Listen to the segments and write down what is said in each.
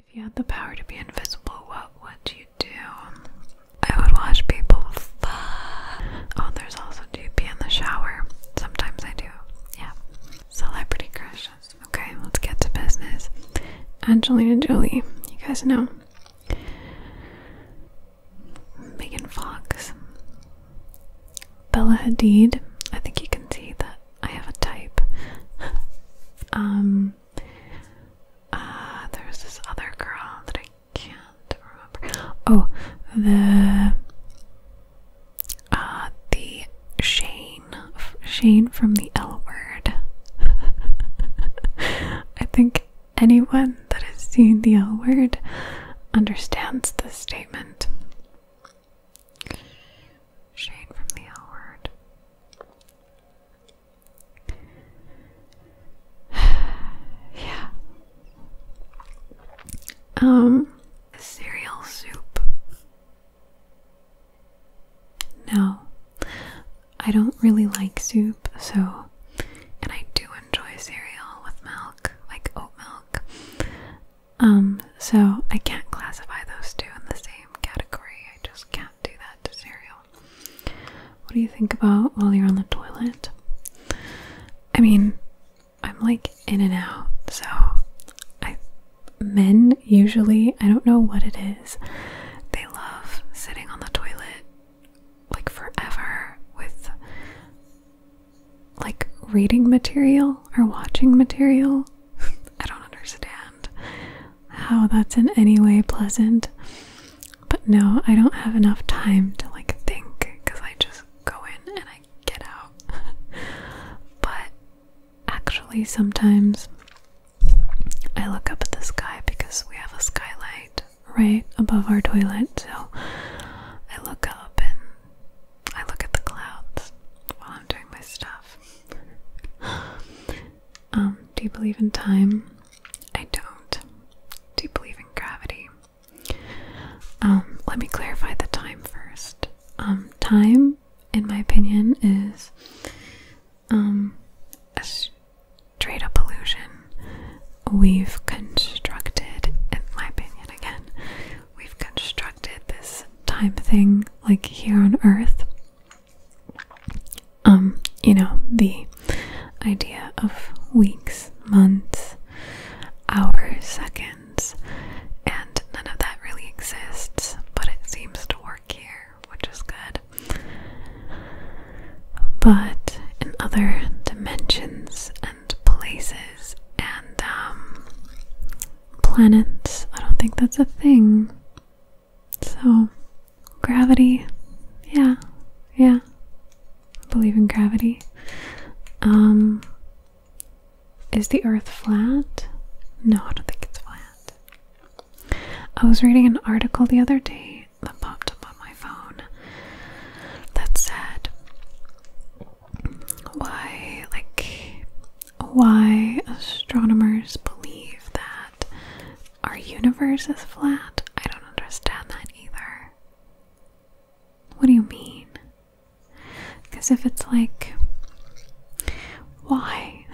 If you had the power to be invisible, what would you do? I would watch people fly. Oh, there's also GP in the shower. Sometimes I do. Yeah. Celebrity crushes. Okay, let's get to business. Angelina Jolie. You guys know. Megan Fox. Bella Hadid. I think you can see that I have a type. um uh, there's this other girl that I can't remember. Oh, the uh, the Shane, Shane from the L Word. I think anyone that has seen the L Word understands this statement. Shade from the L word. yeah. Um, cereal soup. No, I don't really like soup, so, and I do enjoy cereal with milk, like oat milk. Um, so I can't classify those two in the same category. I just can't do that to cereal. What do you think about while you're on the toilet? I mean, I'm like in and out, so men usually, I don't know what it is. They love sitting on the toilet like forever with like reading material or watching material. I don't understand how that's in any way pleasant. But no, I don't have enough time to like think because I just go in and I get out. but actually, sometimes I look up at the sky because we have a skylight right above our toilet. So I look up and I look at the clouds while I'm doing my stuff. Um, do you believe in time? I don't. Do you believe in gravity? Um, let me clarify the time first. Um, time, in my opinion, is a straight up illusion. We've constructed, in my opinion, again, we've constructed this time thing like here on Earth um, you know, the idea of weeks, months, hours, seconds, and none of that really exists, but it seems to work here, which is good. But in other dimensions and places and um, planets. I don't think that's a thing. So, gravity. Yeah. Yeah. I believe in gravity. Um is the earth flat? No, I don't think it's flat. I was reading an article the other day that popped up on my phone that said why like why astronomers believe that our universe is flat, I don't understand that either. What do you mean? Because if it's like, why?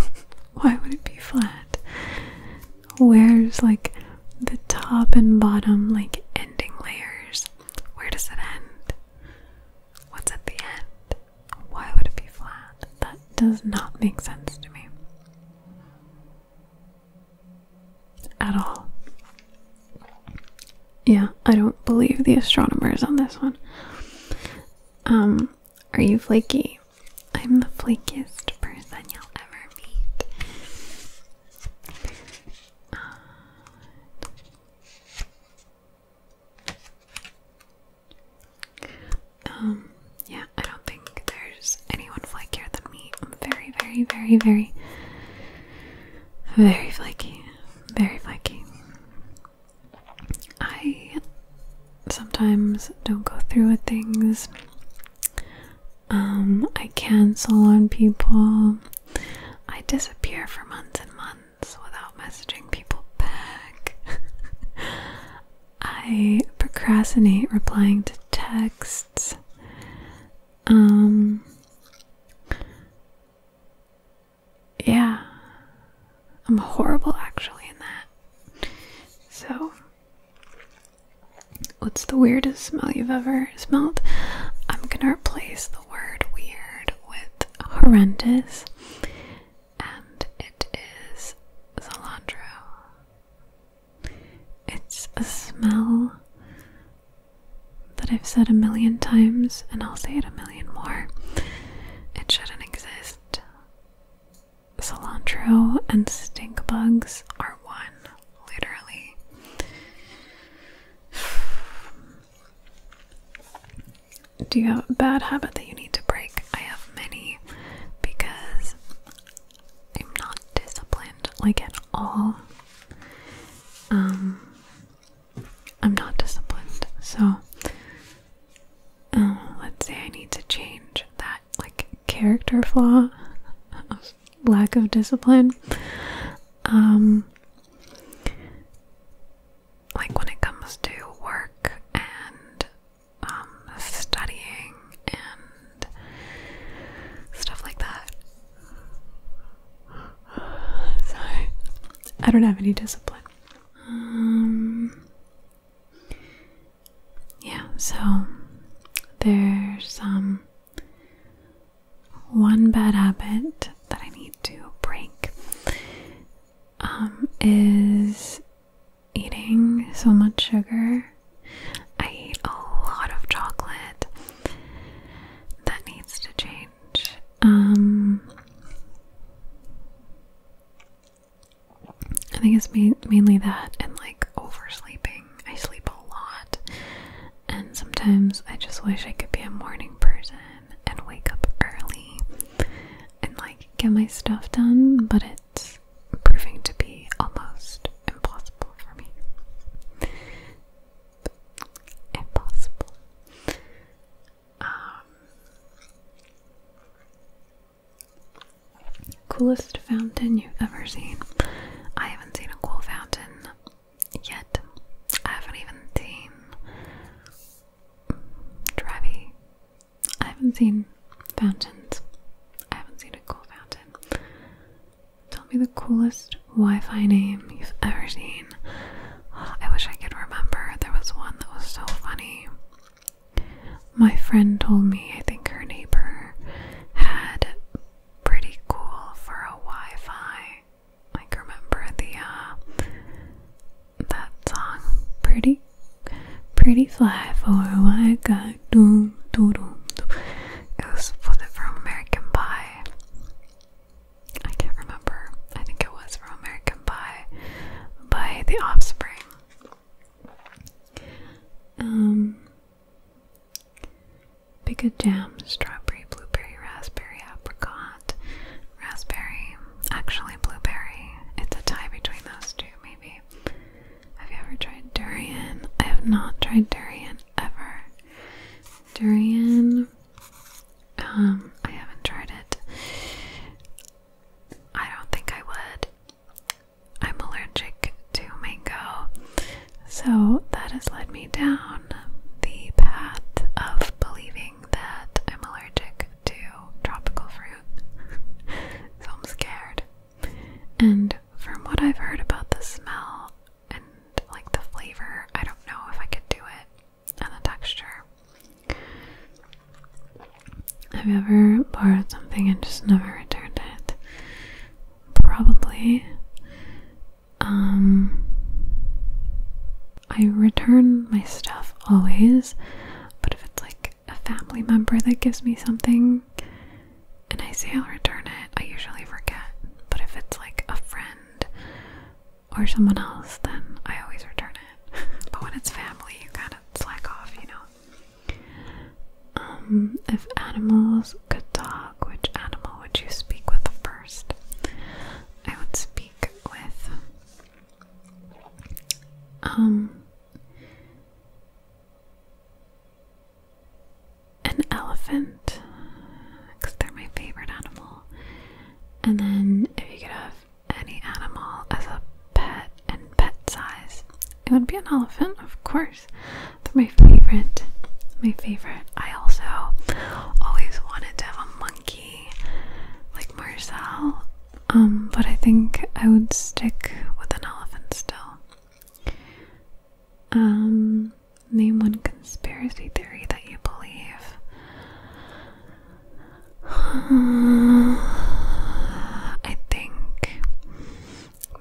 why would it be flat? Where's like the top and bottom, like ending layers? Where does it end? What's at the end? Why would it be flat? That does not make sense to me. At all. Yeah, I don't believe the astronomers on this one. Um, are you flaky? I'm the flakiest person you'll ever meet. Uh, um, yeah, I don't think there's anyone flakier than me. I'm very, very, very, very, very flaky. Very flaky. I sometimes don't go through with things. Um, I cancel on people. I disappear for months and months without messaging people back. I procrastinate replying to texts. Um Yeah. I'm horrible actually in that. So What's the weirdest smell you've ever smelled? I'm gonna replace the word weird with horrendous, and it is cilantro. It's a smell that I've said a million times, and I'll say it a million more. It shouldn't exist. Cilantro and stink bugs are one, literally. Do you have a bad habit that you need to break? I have many because I'm not disciplined, like at all. Um, I'm not disciplined, so um, let's say I need to change that, like character flaw, of lack of discipline. Um, like when it comes to work and um, studying and stuff like that. Sorry, I don't have any discipline. Um, yeah, so there's um one bad habit that I need to break um, is eating so much sugar. I eat a lot of chocolate. That needs to change. Um, I think it's mainly that and like oversleeping. I sleep a lot, and sometimes I just wish I could be a morning person and wake up early and like get my stuff done, but it's proving to be almost impossible for me. Impossible. Um, coolest fountain you've ever seen. I haven't seen a cool fountain yet. I haven't even seen Travi. I haven't seen fountains. I haven't seen a cool fountain. Tell me the coolest Wi-Fi name you've ever seen. Oh, I wish I could remember. There was one that was so funny. My friend told me I think her neighbor had pretty cool for a Wi-Fi like remember the uh, that song pretty pretty fly for a white guy do do do it was from American Pie I can't remember I think it was from American Pie by the offspring um pick a jam strawberry blueberry raspberry apricot raspberry, actually blueberry. It's a tie between those two, maybe. Have you ever tried durian? I have not tried durian ever. Durian, um, I haven't tried it. I don't think I would. I'm allergic to mango, so that has led me down the path of believing that I'm allergic to tropical fruit, so I'm scared. And from what I've heard about the smell and like the flavor, I don't know if I could do it and the texture. Have you ever borrowed something and just never returned it? Probably. Um, I return my stuff always, but if it's like a family member that gives me something and I say I'll return it, I usually forget. But if it's like a friend or someone else, then I always return it. but when it's family, you kind of slack off, you know. Um, if animals could talk, which animal would you speak with first? I would speak with. Um, an elephant, because they're my favorite animal. And then, if you could have any animal as a pet and pet size, it would be an elephant, of course. They're my favorite. My favorite. I also always wanted to have monkey like Marcel, um, but I think I would stick with an elephant still. Um, name one conspiracy theory that you believe. I think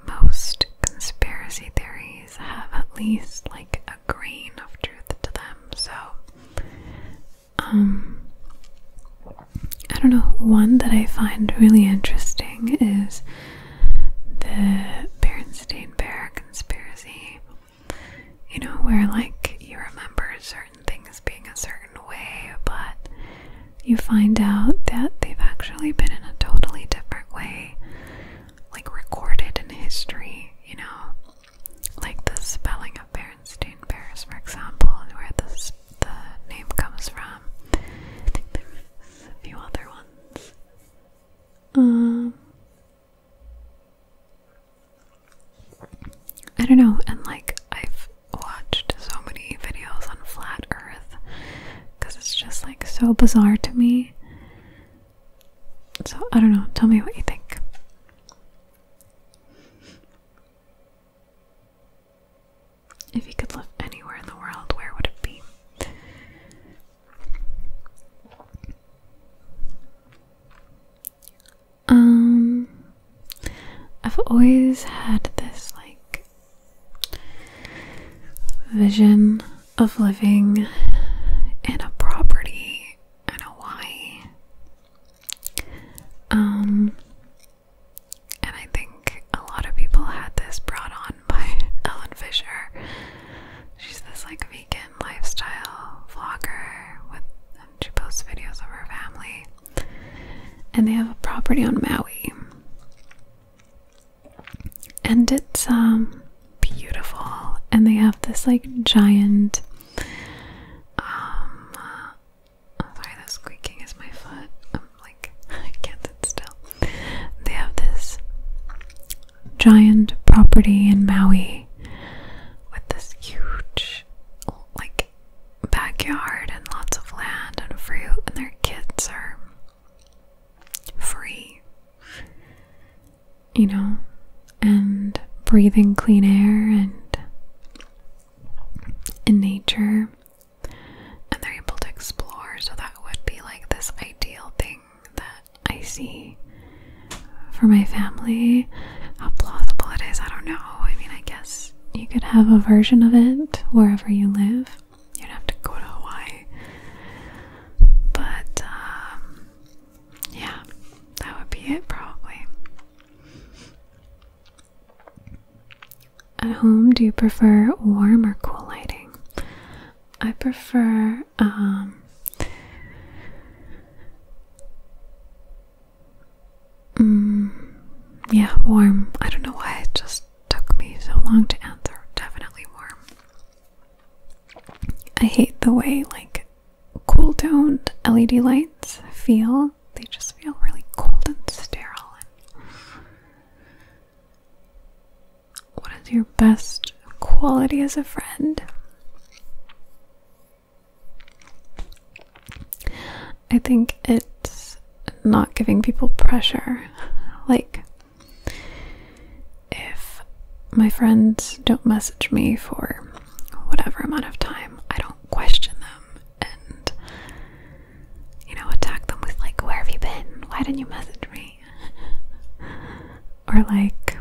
most conspiracy theories have at least like a grain of truth to them. So, um, I don't know. One that I find really interesting is the Berenstain Bear conspiracy. You know, where like you remember certain things being a certain way, but you find out that they've actually been in a totally different way, like recorded in history, you know like the spelling of Berenstain Bears, for example, and where the name comes from. a few other ones. Um, I don't know, and like I've watched so many videos on flat Earth because it's just like so bizarre to me. So I don't know, tell me what you think. If you could live anywhere in the world, where would it be? Um I've always had this like vision of living in a property in Hawaii. Um, and I think a lot of people had this brought on by Ellen Fisher. She's this like vegan lifestyle vlogger and she posts videos of her family. And they have a property on Maui. And it's um beautiful and they have this like giant um oh, sorry that squeaking is my foot I'm like I can't sit still they have this giant property in Maui with this huge like backyard and lots of land and fruit and their kids are free you know, and breathing clean air and in nature. And they're able to explore, so that would be like this ideal thing that I see for my family. How plausible it is, I don't know. I mean, I guess you could have a version of it wherever you live. You'd have to go to Hawaii. But um, yeah, that would be it probably. At home, do you prefer warm or cool lighting? I prefer um mm, yeah, warm. I don't know why it just took me so long to answer. Definitely warm. I hate the way like cool toned LED lights feel. They just feel really cold and sterile. what is your best quality as a friend? I think it's not giving people pressure. Like, if my friends don't message me for whatever amount of time, I don't question them and, you know, attack them with, like, where have you been? Why didn't you message me? or, like,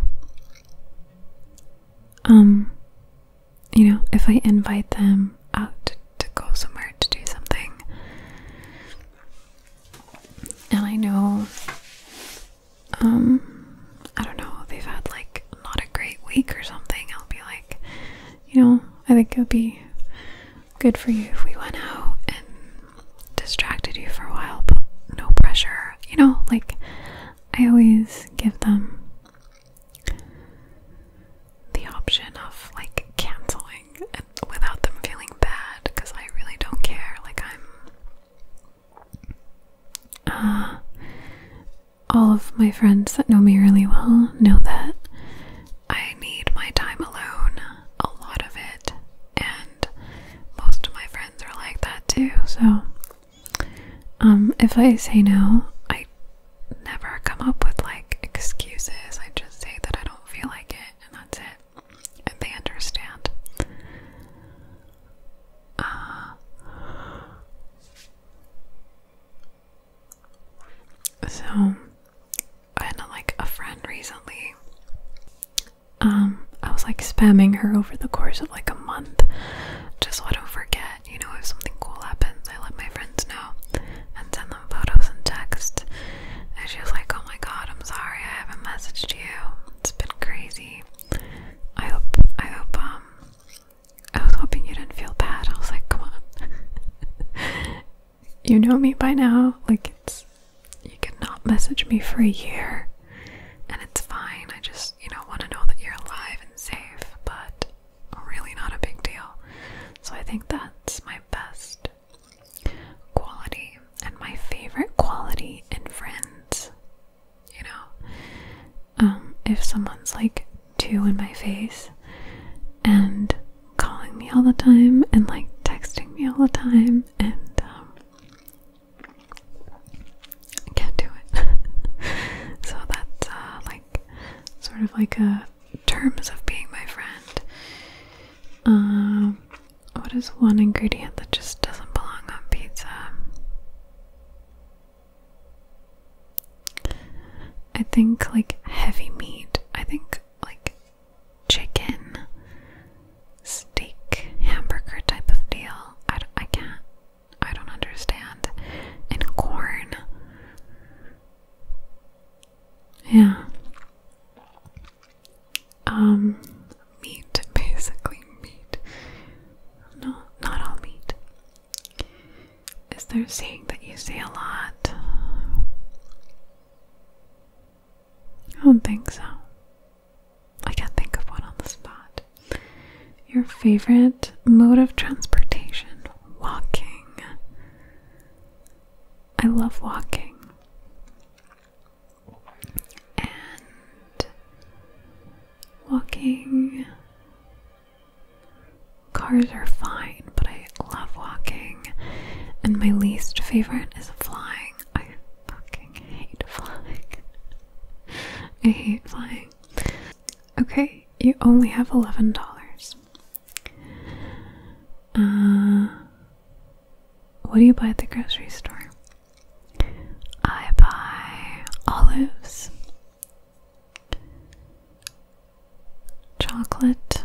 um, you know, if I invite them out to go somewhere to do something, and I know um, I don't know, they've had like not a great week or something, I'll be like, you know, I think it would be good for you if we went out and distracted you for a while, but no pressure. You know, like I always give them the option of like canceling without them feeling bad because I really don't care. Like I'm uh, all of my friends that know me really well know that I need my time alone, a lot of it, and most of my friends are like that too. So, um, if I say no, I never come up with like excuses. I just say that I don't feel like it, and that's it and they understand. Uh, so, I had like a friend recently. Um, I was like spamming her over the course of like a month, just so I don't forget. You know, if something cool happens, I let my friends know and send them photos and text. And she was like, oh my god, I'm sorry I haven't messaged you. It's been crazy. I hope, I hope, um, I was hoping you didn't feel bad. I was like, come on. you know me by now. Like, it's, you could not message me for a year. And it's fine. I just, you know, want to know that you're alive and safe, but really not a big deal. So I think that's my best quality and my favorite quality in friends. You know, um, if someone's like two in my face and calling me all the time and like texting me all the time, and um, can't do it. so that's uh, like sort of like a terms of being my friend. Um, what is one ingredient that just doesn't belong on pizza? I think like heavy meat. I think like chicken, steak, hamburger type of deal. I, I can't. I don't understand. And corn. Yeah um meat, basically meat. No, not all meat. Is there a saying that you say a lot? I don't think so. I can't think of one on the spot. Your favorite mode of transportation? Walking. I love walking and walking. Cars are fine, but I love walking. And my least favorite is flying. I fucking hate flying. I hate flying. Okay, you only have $11. Uh, what do you buy at the grocery store? I buy olives, chocolate,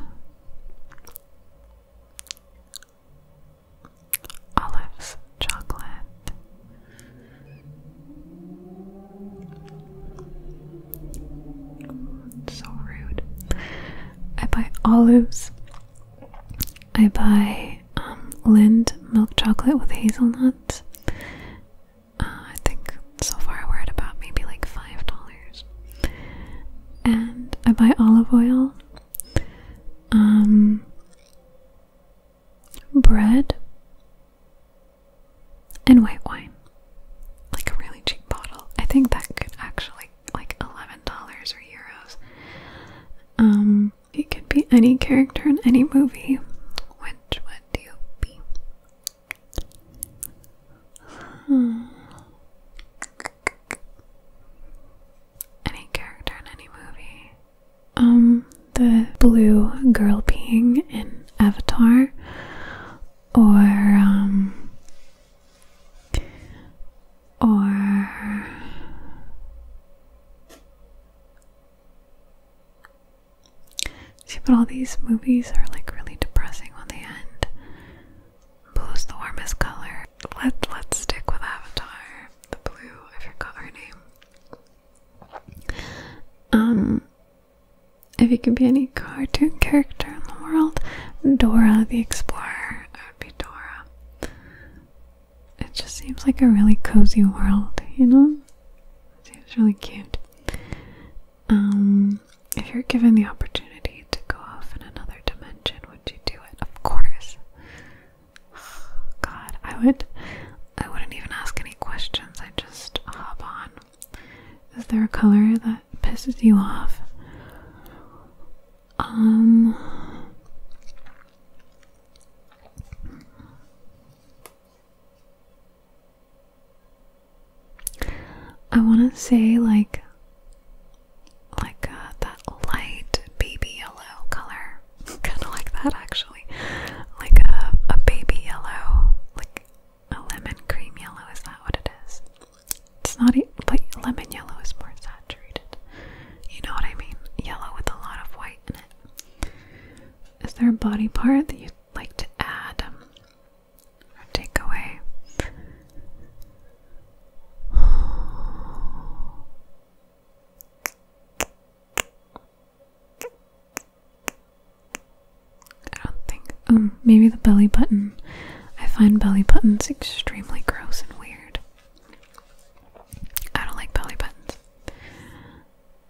olives, chocolate. So rude. I buy olives, I buy um, Lind milk chocolate with hazelnuts. Uh, I think so far we're at about maybe like five dollars. And I buy olive oil, um, bread, and white wine. Like a really cheap bottle. I think that could actually like eleven dollars or euros. Um, it could be any character in any movie. Which one do you be? Hmm. Any character in any movie. Um, the blue girl being in Avatar, or um, or but all these movies are like really depressing when they end. Blue's the warmest color. Let let's stick with Avatar. The blue. I forgot her name. Um, if you could be any cartoon character in the world, Dora the Explorer. Fedora. It just seems like a really cozy world, you know? Seems really cute. Um, if you're given the opportunity to go off in another dimension, would you do it? Of course. God, I would. I wouldn't even ask any questions. I just hop on. Is there a color that pisses you off? Um I want to say like like uh, that light baby yellow color. kind of like that actually. Like a uh, a baby yellow, like a lemon cream yellow is that what it is? It's not, but lemon yellow is more saturated. You know what I mean? Yellow with a lot of white in it. Is there a body part that you'd like to add um, or take away? I don't think um, maybe the belly button. I find belly buttons extremely gross and weird. I don't like belly buttons.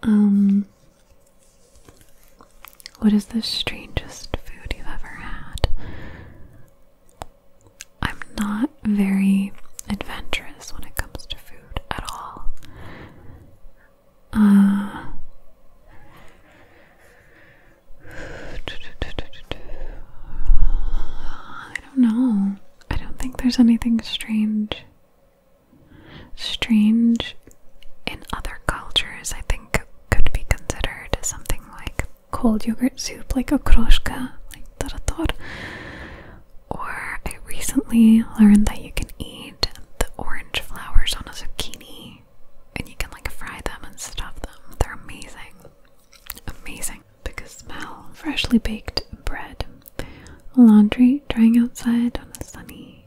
Um, what is the strangest food you've ever had? I'm not very adventurous when it comes to food at all. Uh, I don't know. I don't think there's anything strange. Strange in other cultures, I think, could be considered something like cold yogurt soup, like okroshka, like tarator. Or I recently learned that you can eat the orange flowers on a zucchini and you can like fry them and stuff them. They're amazing. Amazing. Because smell. Freshly baked bread. Laundry drying outside on a sunny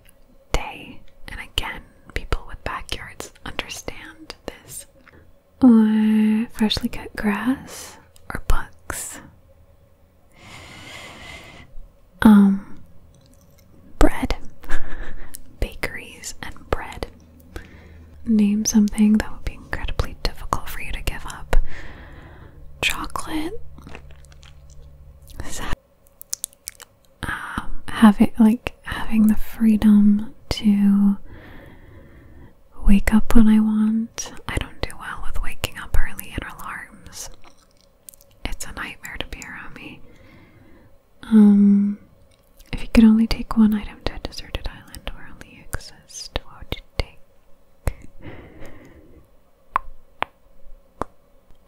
day. And again, people with backyards understand this. Or freshly cut grass or books. Um bread. Bakeries and bread. Name something that would be incredibly difficult for you to give up. Chocolate. Um, having like having the freedom to wake up when I want. I don't do well with waking up early and alarms. It's a nightmare to be around me. Um, if you could only take one item to a deserted island where only exists, exist, what would you take?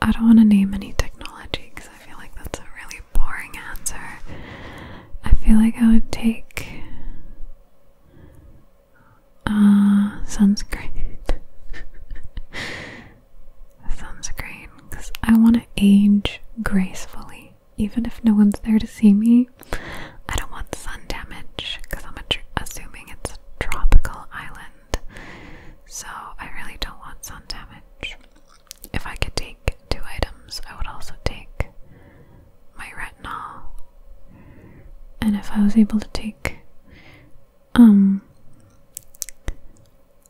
I don't want to name any technology because I feel like that's a really boring answer. I feel like I would take uh, sunscreen. sunscreen because I want to age gracefully even if no one's there to see me. I don't want sun damage because I'm assuming it's a tropical island, so I really don't want sun damage. If I could take two items, I would also take my retinol, and if I was able to take um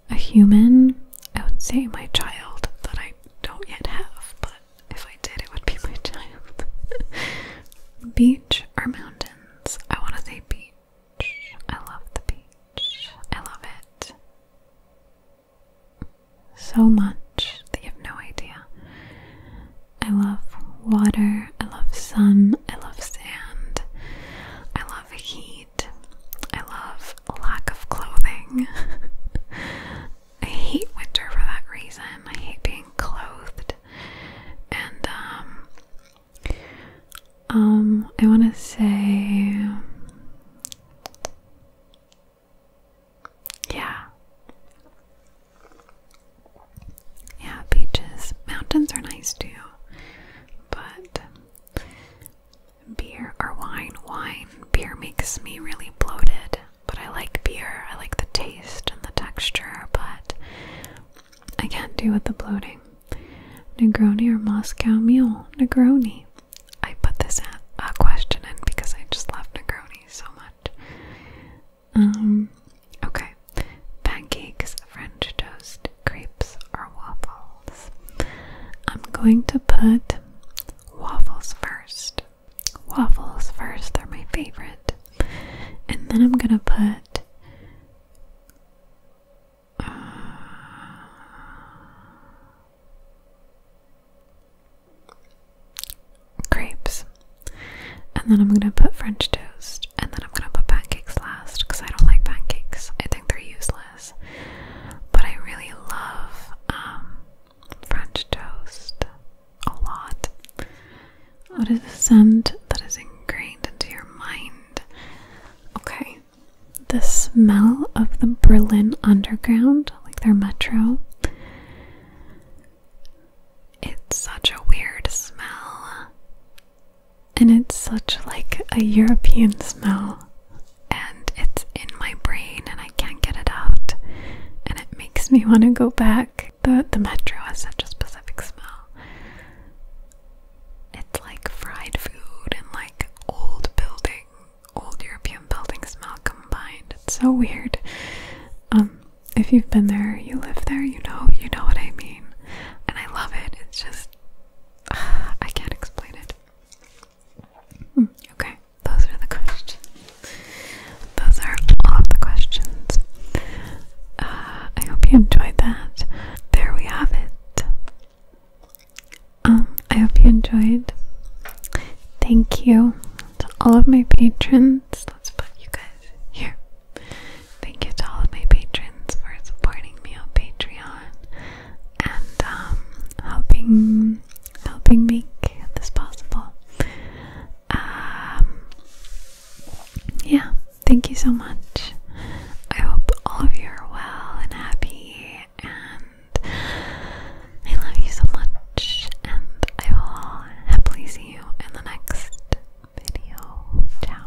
a human, I would say my child that I don't yet have, but if I did, it would be my child. beach or mountains? I want to say beach. I love the beach. I love it so much that you have no idea. I love water. I love sun. I love sand. I love heat. I love lack of clothing. I hate winter for that reason. I hate being clothed. And um um I want to say yeah. Yeah, beaches. Mountains are nice too. But beer or wine. Wine, beer makes me really bloated, but I like beer. I like the taste and the texture, but I can't do with the bloating. Negroni or Moscow Mule? Negroni. I put this at, a question in because I just love Negroni so much. Um, okay. Pancakes, French toast, crepes, or waffles. I'm going to put waffles first. Waffles first, they're my favorite. And then I'm gonna put. Uh, crepes, and then I'm gonna put French toast, and then I'm gonna put pancakes last because I don't like pancakes. I think they're useless. But I really love um, French toast a lot. What is the scent that is ingrained into your mind? Okay, the smell of the Berlin Underground, like their metro. It's such a weird smell. And it's such like a European smell and it's in my brain and I can't get it out and it makes me want to go back. The the metro has such a specific smell. It's like fried food and like old building, old European buildings smell combined. It's so weird. Um if you've been there, you live there, you know, you know what I mean. And I love it. It's just I can't explain it. Hmm, okay, those are the questions. Those are all the questions. Uh, I hope you enjoyed that. There we have it. Um, I hope you enjoyed. Thank you to all of my patrons. Let's put you guys here. Thank you to all of my patrons for supporting me on Patreon and um, helping helping make this possible. Um, yeah, thank you so much. I hope all of you are well and happy, and I love you so much. And I will happily see you in the next video. Ciao.